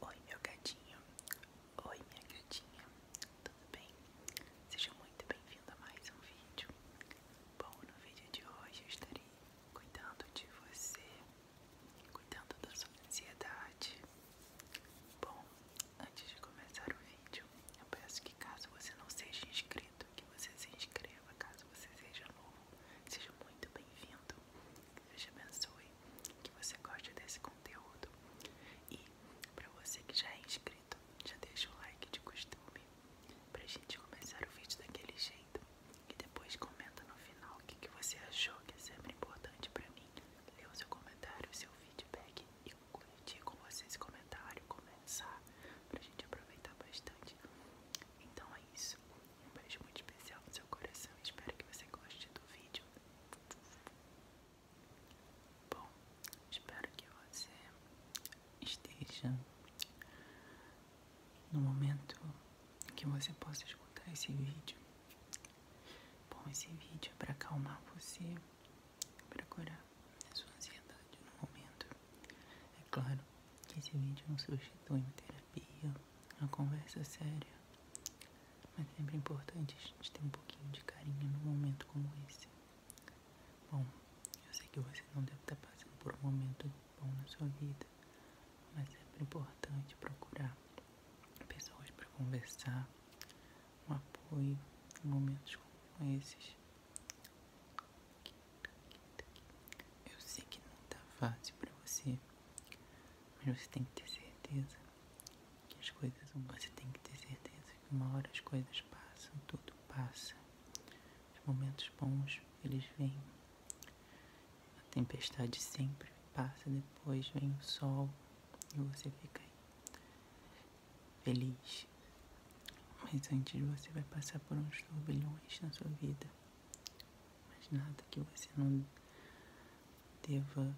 Oi, meu gatinho. Oi, minha gatinha. Tudo bem? Seja muito bem-vindo a mais um vídeo. Bom, no vídeo de hoje eu estarei cuidando de você, cuidando da sua ansiedade. Bom, antes de começar o vídeo, eu peço que caso você não seja inscrito, que você se inscreva. Caso você seja novo, seja muito bem-vindo que Deus te abençoe, que você goste desse conteúdo. E para você que já é inscrito, já deixa o like de costume para a gente começar o vídeo daquele jeito. E depois comenta no final o que, que você achou, que é sempre importante para mim. Lê o seu comentário, o seu feedback e curtir com vocês esse comentário, começar para a gente aproveitar bastante. Então é isso. Um beijo muito especial no seu coração. Espero que você goste do vídeo. Bom, espero que você esteja no momento em que você possa escutar esse vídeo. Bom, esse vídeo é para calmar você, para curar a sua ansiedade no momento. É claro que esse vídeo não substitui uma terapia, é uma conversa séria. Mas é sempre importante a gente ter um pouquinho de carinho num momento como esse. Bom, eu sei que você não deve estar passando por um momento bom na sua vida, mas é sempre importante procurar pessoas para conversar, um apoio em momentos como esses. Eu sei que não está fácil para você. Mas você tem que ter certeza que as coisas. Você tem que ter certeza que uma hora as coisas passam, tudo passa. Os momentos bons, eles vêm. A tempestade sempre passa, depois vem o sol e você fica aí. Feliz. Mas antes você vai passar por uns turbilhões na sua vida mas nada que você não deva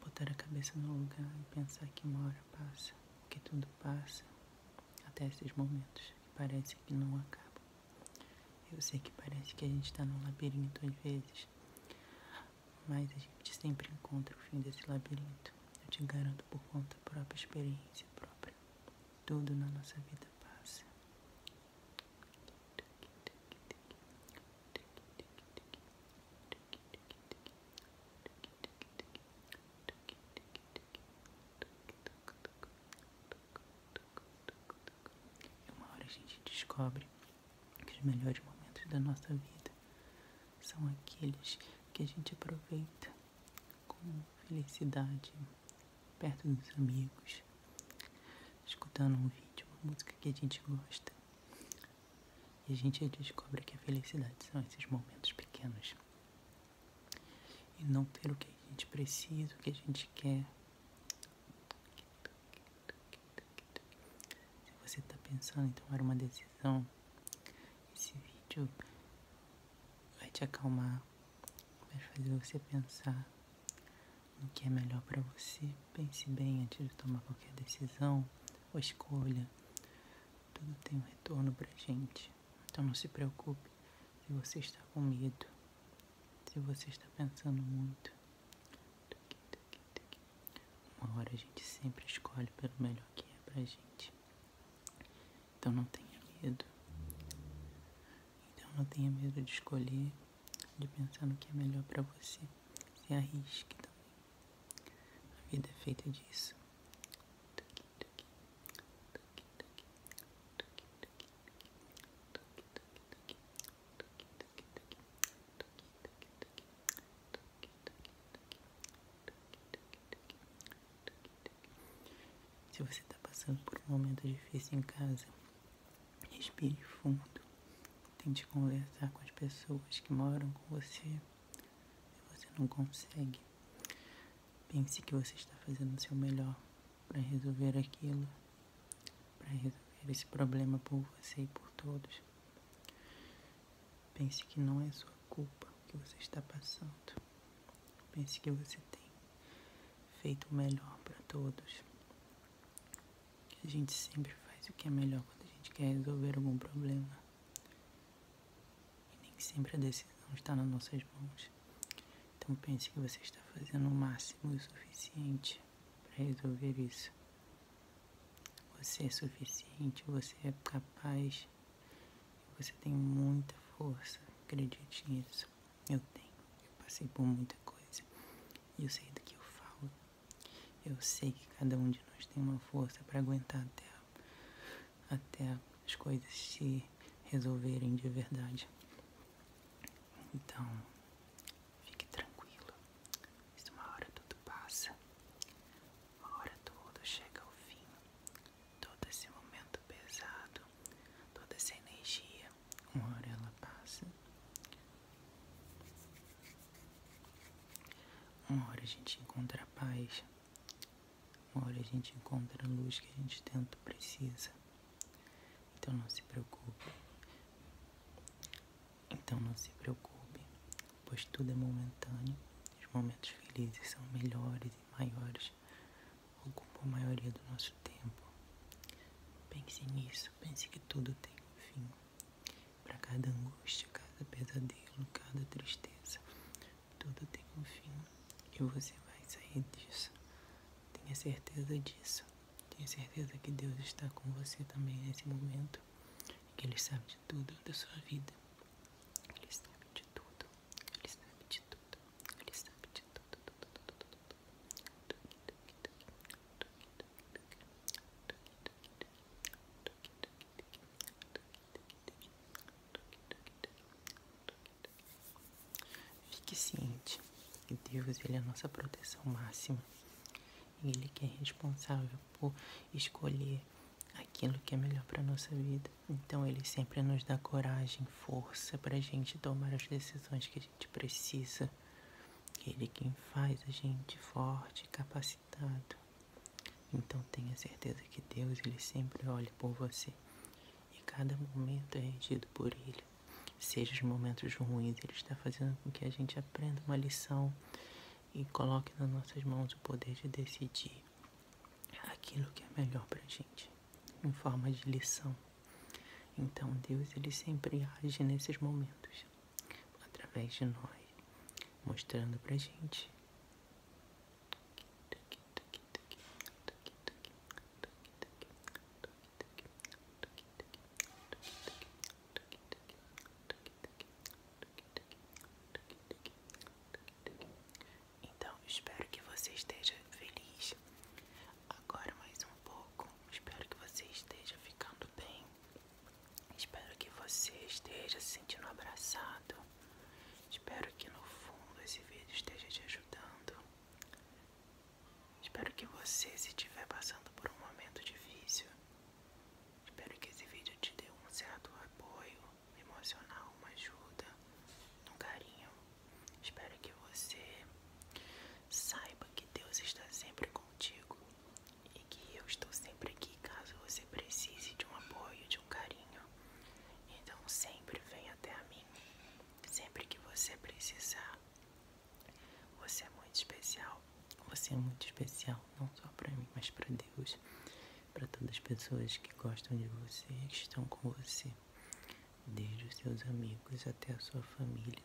botar a cabeça no lugar e pensar que uma hora passa, que tudo passa, até esses momentos que parece que não acabam. Eu sei que parece que a gente está num labirinto às vezes, mas a gente sempre encontra o fim desse labirinto. Eu te garanto por conta própria, experiência própria. Tudo na nossa vida passa. E uma hora a gente descobre que os melhores momentos da nossa vida são aqueles que a gente aproveita com felicidade perto dos amigos, escutando um vídeo, uma música que a gente gosta. E a gente descobre que a felicidade são esses momentos pequenos. E não ter o que a gente precisa, o que a gente quer. Se você está pensando em tomar uma decisão, esse vídeo vai te acalmar, vai fazer você pensar no que é melhor para você. Pense bem antes de tomar qualquer decisão ou escolha. Tudo tem um retorno para gente. Então não se preocupe se você está com medo, se você está pensando muito. Uma hora a gente sempre escolhe pelo melhor que é pra gente. Então não tenha medo. Então não tenha medo de escolher, de pensar no que é melhor para você. Se arrisque também. A vida é feita disso. Se você está passando por um momento difícil em casa, respire fundo. Tente conversar com as pessoas que moram com você. Se você não consegue, pense que você está fazendo o seu melhor para resolver aquilo, para resolver esse problema por você e por todos. Pense que não é sua culpa o que você está passando. Pense que você tem feito o melhor para todos. a gente sempre faz o que é melhor quando a gente quer resolver algum problema. E nem sempre a decisão está nas nossas mãos. Então pense que você está fazendo o máximo e o suficiente para resolver isso. Você é suficiente, você é capaz você tem muita força, acredite nisso. Eu tenho, eu passei por muita coisa e eu sei do que eu falo. Eu sei que cada um de nós tem uma força para aguentar até, até as coisas se resolverem de verdade. Então, fique tranquilo. Isso uma hora tudo passa. Uma hora tudo chega ao fim todo esse momento pesado, toda essa energia, uma hora ela passa, uma hora a gente encontra a paz, uma hora a gente encontra a luz que a gente tanto precisa. Então não se preocupe. Então não se preocupe, pois tudo é momentâneo. Os momentos felizes são melhores maiores ocupam a maioria do nosso tempo. Pense nisso, pense que tudo tem um fim. Para cada angústia, cada pesadelo, cada tristeza, tudo tem um fim e você vai sair disso. Tenha certeza disso. Tenha certeza que Deus está com você também nesse momento, que Ele sabe de tudo da sua vida. Ele sabe de tudo. Ele sabe de tudo. Ele sabe de tudo. Fique ciente que Deus ele é a nossa proteção máxima. Ele que é responsável por escolher aquilo que é melhor para nossa vida. Então ele sempre nos dá coragem, força para a gente tomar as decisões que a gente precisa. Ele é quem faz a gente forte, capacitado. Então tenha certeza que Deus ele sempre olha por você e cada momento é regido por Ele. Seja os momentos ruins, Ele está fazendo com que a gente aprenda uma lição e coloque nas nossas mãos o poder de decidir aquilo que é melhor para gente, em forma de lição. Então Deus ele sempre age nesses momentos, através de nós, mostrando para gente. Então, espero que você esteja feliz. Agora mais um pouco. Espero que você esteja ficando bem. Espero que você esteja se sentindo abraçado. Espero que no fundo esse vídeo esteja te ajudando. Espero que você, se estiver passando por um momento difícil, espero que esse vídeo te dê um certo apoio, emocional, uma ajuda, um carinho. Espero que você saiba que Deus está sempre contigo e que eu estou sempre aqui caso você precise de um apoio, de um carinho. Então sempre vem até mim. Sempre que você precisar. Você é muito especial. Você é muito especial, não só para mim, mas para Deus para todas as pessoas que gostam de você, que estão com você, desde os seus amigos até a sua família,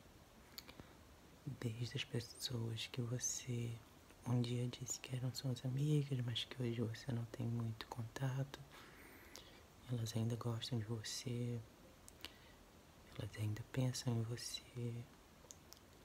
desde as pessoas que você um dia disse que eram suas amigas, mas que hoje você não tem muito contato, elas ainda gostam de você, elas ainda pensam em você,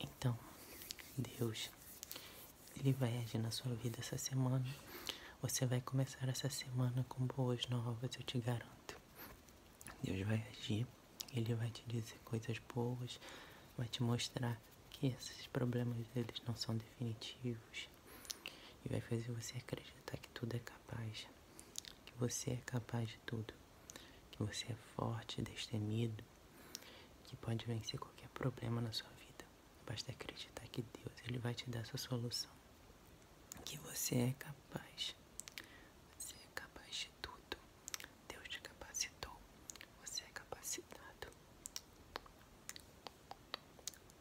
Então, Deus, Ele vai agir na sua vida essa semana. Você vai começar essa semana com boas novas, eu te garanto. Deus vai agir, Ele vai te dizer coisas boas, vai te mostrar que esses problemas deles não são definitivos e vai fazer você acreditar que tudo é capaz, que você é capaz de tudo que você é forte, destemido, que pode vencer qualquer problema na sua vida. Basta acreditar que Deus ele vai te dar sua solução. Que você é capaz. Você é capaz de tudo. Deus te capacitou. Você é capacitado. Tuque,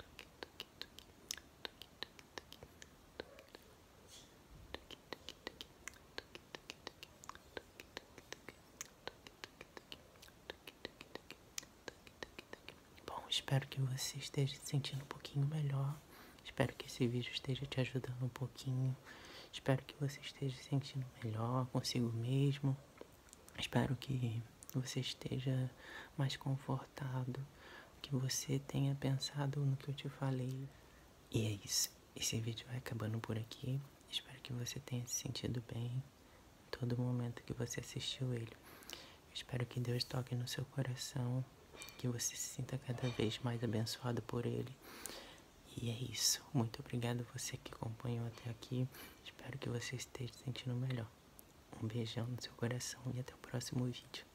tuque, tuque. Tuque, tuque, tuque. Tuque, tuque, Bom, espero que você esteja se sentindo um pouquinho melhor. Espero que esse vídeo esteja te ajudando um pouquinho. Espero que você esteja se sentindo melhor consigo mesmo. Espero que você esteja mais confortado, que você tenha pensado no que eu te falei. E é isso. Esse vídeo vai acabando por aqui. Espero que você tenha se sentido bem todo momento que você assistiu ele. Espero que Deus toque no seu coração, que você se sinta cada vez mais abençoado por ele. E é isso. Muito obrigado você que acompanhou até aqui. Espero que você esteja se sentindo melhor. Um beijão no seu coração e até o próximo vídeo.